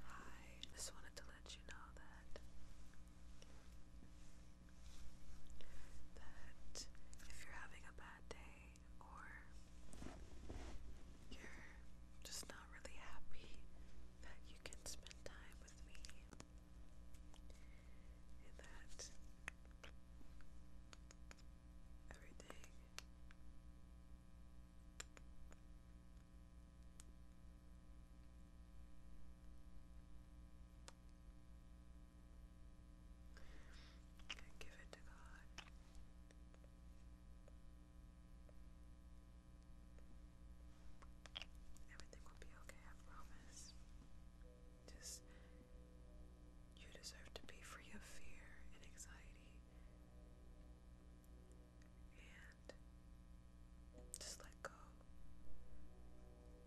Hi, just wanted to let you know that that if you're having a bad day or you're just not really happy that you can spend time with me and that everything Give it to God. Everything will be okay, I promise. Just, you deserve to be free of fear and anxiety and just let go.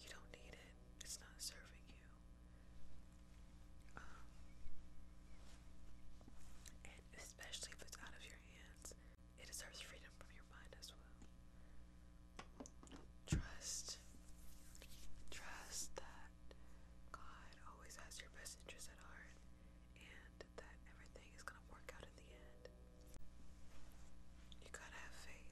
You don't need it, it's not serving you. Um, and especially if it's out of your hands, it deserves freedom from your mind as well. Trust, trust that God always has your best interest at heart and that everything is gonna work out in the end. You gotta have faith.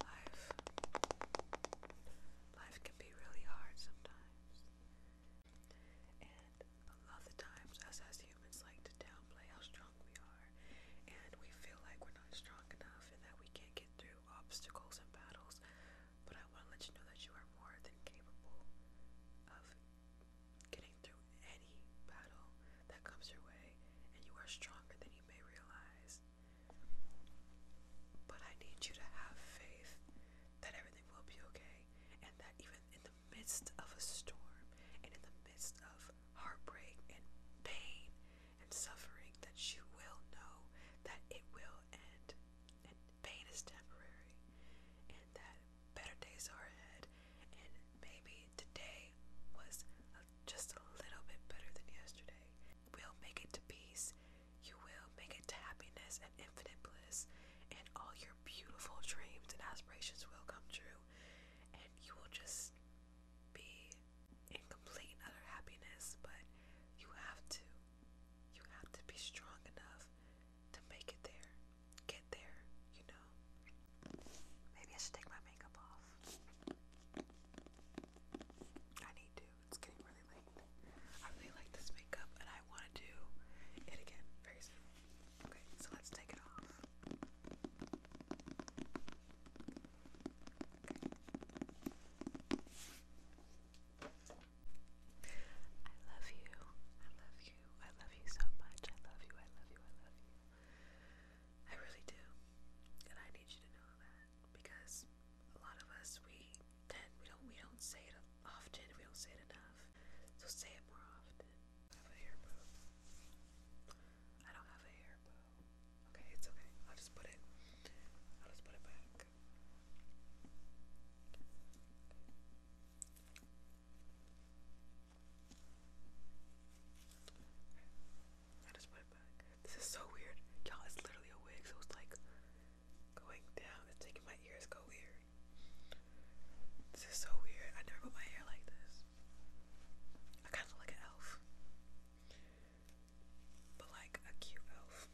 life life can be really hard sometimes. And a lot of the times us as humans like to downplay how strong we are and we feel like we're not strong enough and that we can't get through obstacles and battles. But I want to let you know that you are more than capable of getting through any battle that comes your way, and you are stronger than you may realize. But I need you to have faith that everything will be okay, and that even in the midst of a storm, and in the midst of heartbreak and pain and suffering, that you will know that it will end, and pain is temporary, and that better days are ahead, and maybe today was just a little bit better than yesterday. We'll make it to peace. You will make it to happiness and infinite bliss, and all your beautiful dreams and aspirations will come true, and you will just be in complete and utter happiness. But you have to, you have to be strong enough to make it there, get there, you know. Maybe I should take my makeup off. I need to. It's getting really late. I really like this makeup and I want to do it again very soon. Okay, so let's take it off. I love you. I love you. I love you so much. I love you. I love you. I love you. I really do. And I need you to know that because a lot of us we tend we don't we don't say it often, we don't say it enough. So say it more often. I don't have a hair bow. Okay, it's okay. I'll just put it I'll just put it back. I just put it back. This is so weird. Y'all, it's literally a wig, so it's like going down. It's making my ears go weird. This is so weird. I never put my hair like this. I kind of look like an elf. But like a cute elf.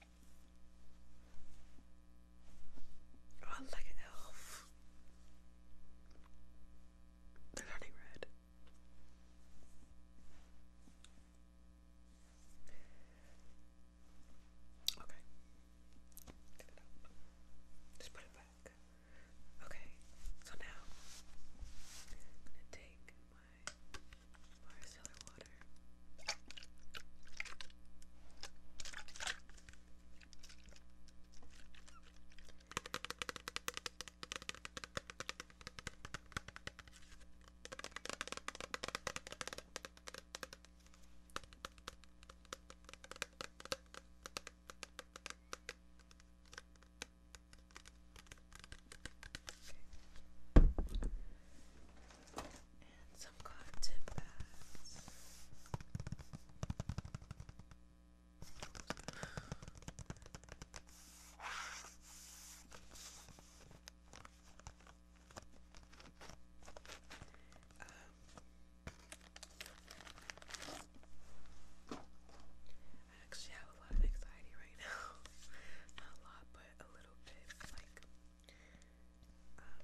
Oh, I look like an elf they're turning red. Okay. Just put it back. Okay, so now I'm gonna take my Marcellar water. And some cotton tip pads. Um, I actually have a lot of anxiety right now. Not a lot, but a little bit. Like, um,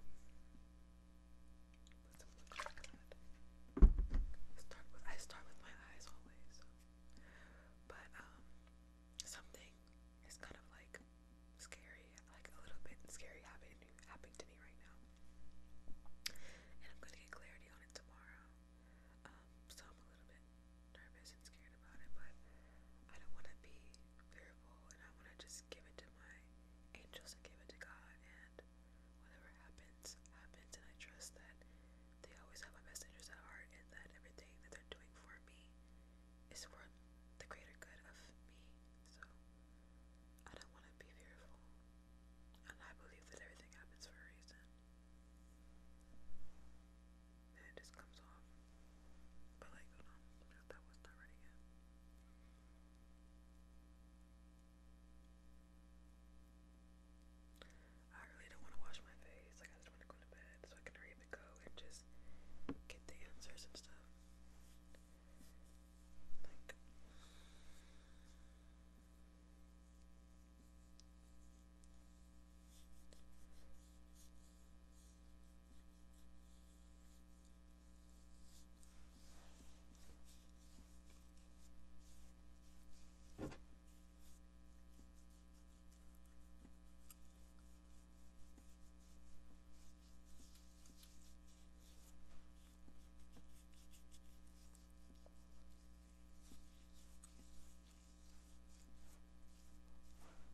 I start with my eyes always. But um, something is kind of like scary, like a little bit scary happening to me right now. And I'm gonna get clarity on it tomorrow. Um, so I'm a little bit nervous and scared about it, but I don't want to be fearful, and I want to just give it to my angels and give it to God, and whatever happens, happens. And I trust that they always have my best interests at heart, and that everything that they're doing for me is for the greater good of me. So I don't want to be fearful, and I believe that everything happens for a reason. And it just comes off. But like, that was not ready yet. I really don't want to wash my face. Like I just want to go to bed so I can hurry and go and just get the answers and stuff.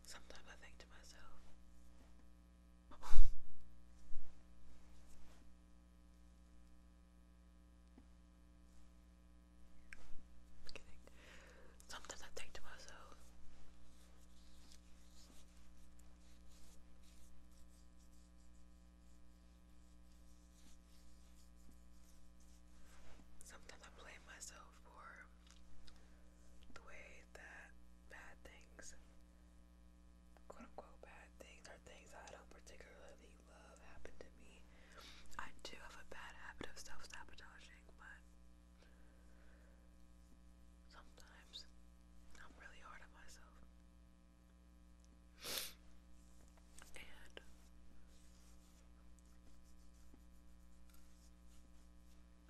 Sometimes I think to myself, just kidding. Sometimes I think to myself. Sometimes I blame myself for the way that bad things quote unquote bad things or things I don't particularly love happen to me. I do have a bad habit of self sabotaging, but sometimes I'm really hard on myself.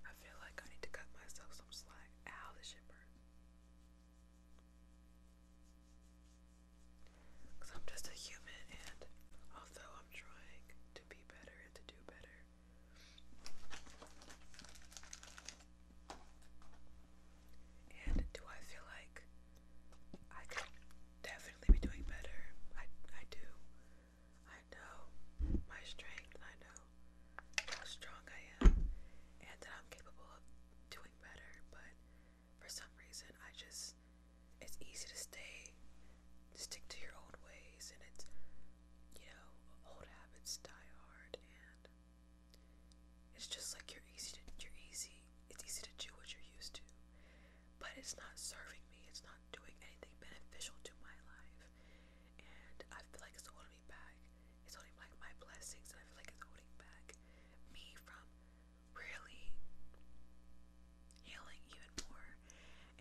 I feel like I need to cut myself some slack. Ow, this shit Because I'm just a human, and although I'm trying to be better and to do better, and do I feel like I could definitely be doing better? I, I do. I know my strength. I know how strong I am and that I'm capable of doing better. But for some reason, I just, it's easy to stay, stick to your old ways. And it's, you know, old habits die hard. And it's just like you're easy you're easy, it's easy to do what you're used to. But it's not serving me, it's not doing anything beneficial to my life and I feel like it's holding me back. It's holding like my blessings, and I feel like it's holding back me from really healing even more.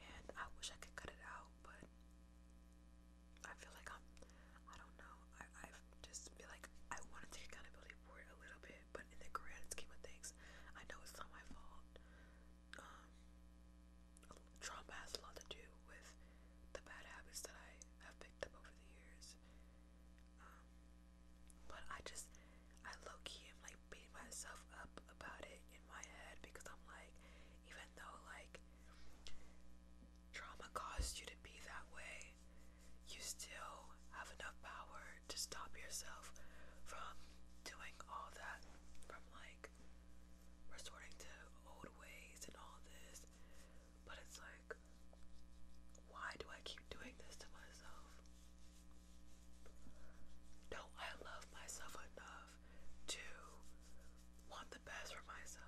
And I wish I could cut it out, but I feel like I'm. I don't know. I I just feel like I want to take accountability for it a little bit, but in the grand scheme of things, I know it's not my fault um, trauma has a lot to do with the bad habits that I have picked up over the years. Um, but I just, I low key am like beating myself up about it in my head because I'm like, even though like trauma caused you to be that way, you still have enough power to stop yourself from doing all that, from like like resorting to old ways and all this, but it's like, why do I keep doing this to myself? No, I love myself enough to want the best for myself.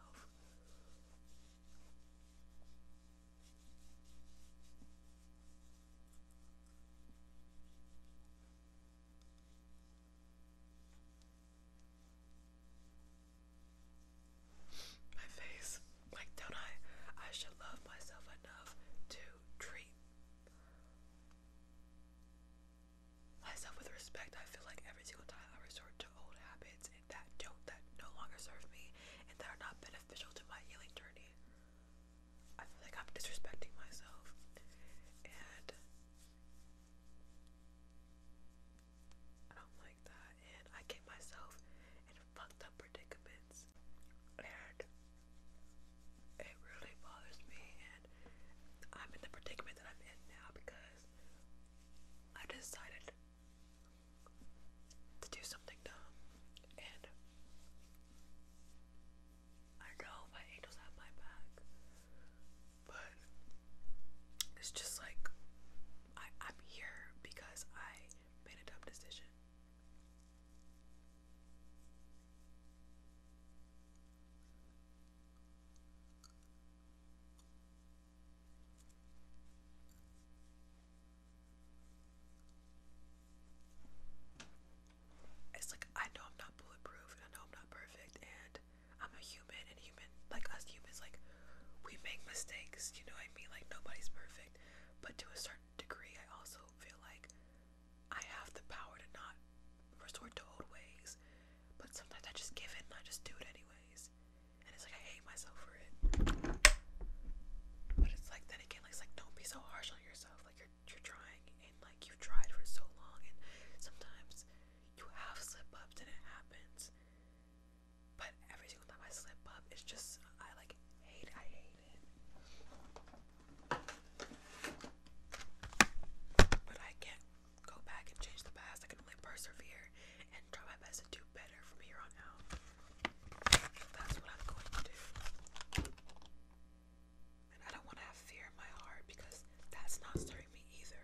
My face. Like, don't I? I should love myself enough to treat myself with respect. I feel like every single time I resort to old habits and that don't that no longer serve me and that are not beneficial to my healing journey. I feel like I'm disrespecting myself, and I don't like that. And I get myself in fucked up predicaments, and it really bothers me. And I'm in the predicament that I'm in now because I decided to do something dumb, and I know my angels have my back, but it's just like I, am here because I made a dumb decision it's like I know I'm not bulletproof and I know I'm not perfect and I'm a human and human like us humans like we make mistakes, you know what I mean? Like nobody's perfect. But to a certain degree I also feel like I have the power to not resort to old ways. But sometimes I just give in and I just do it anyways. And it's like I hate myself for it. But it's like then again, like it's like don't be so harsh on yourself. Like you're you're trying and like you've tried for so long and sometimes you have slip ups and it happens. But every single time I slip up it's just I like hate I hate it. But I can't go back and change the past. I can only persevere and try my best to do better from here on out. That's what I'm going to do. And I don't want to have fear in my heart because that's not serving me either.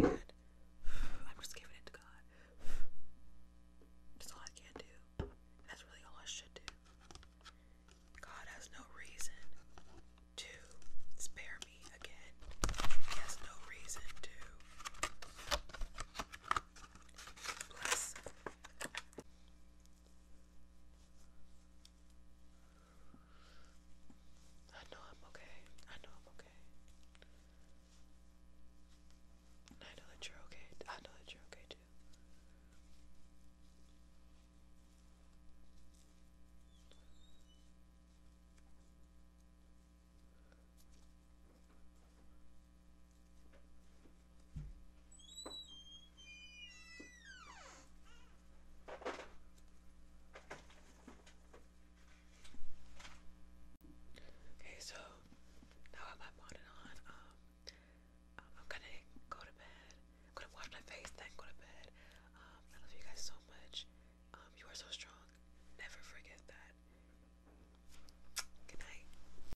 And I'm just giving it to God. That's all I can do. that's really all I should do. God has no reason to spare me again. He has no reason to bless I know I'm okay. I know I'm okay. I know that you're okay. I know that you're okay too. Okay, so now I have my bonnet on. Um, I'm gonna go to bed. I'm gonna wash my face, then go to bed. Um, I love you guys so much. Um, you are so strong. Never forget that. Good night.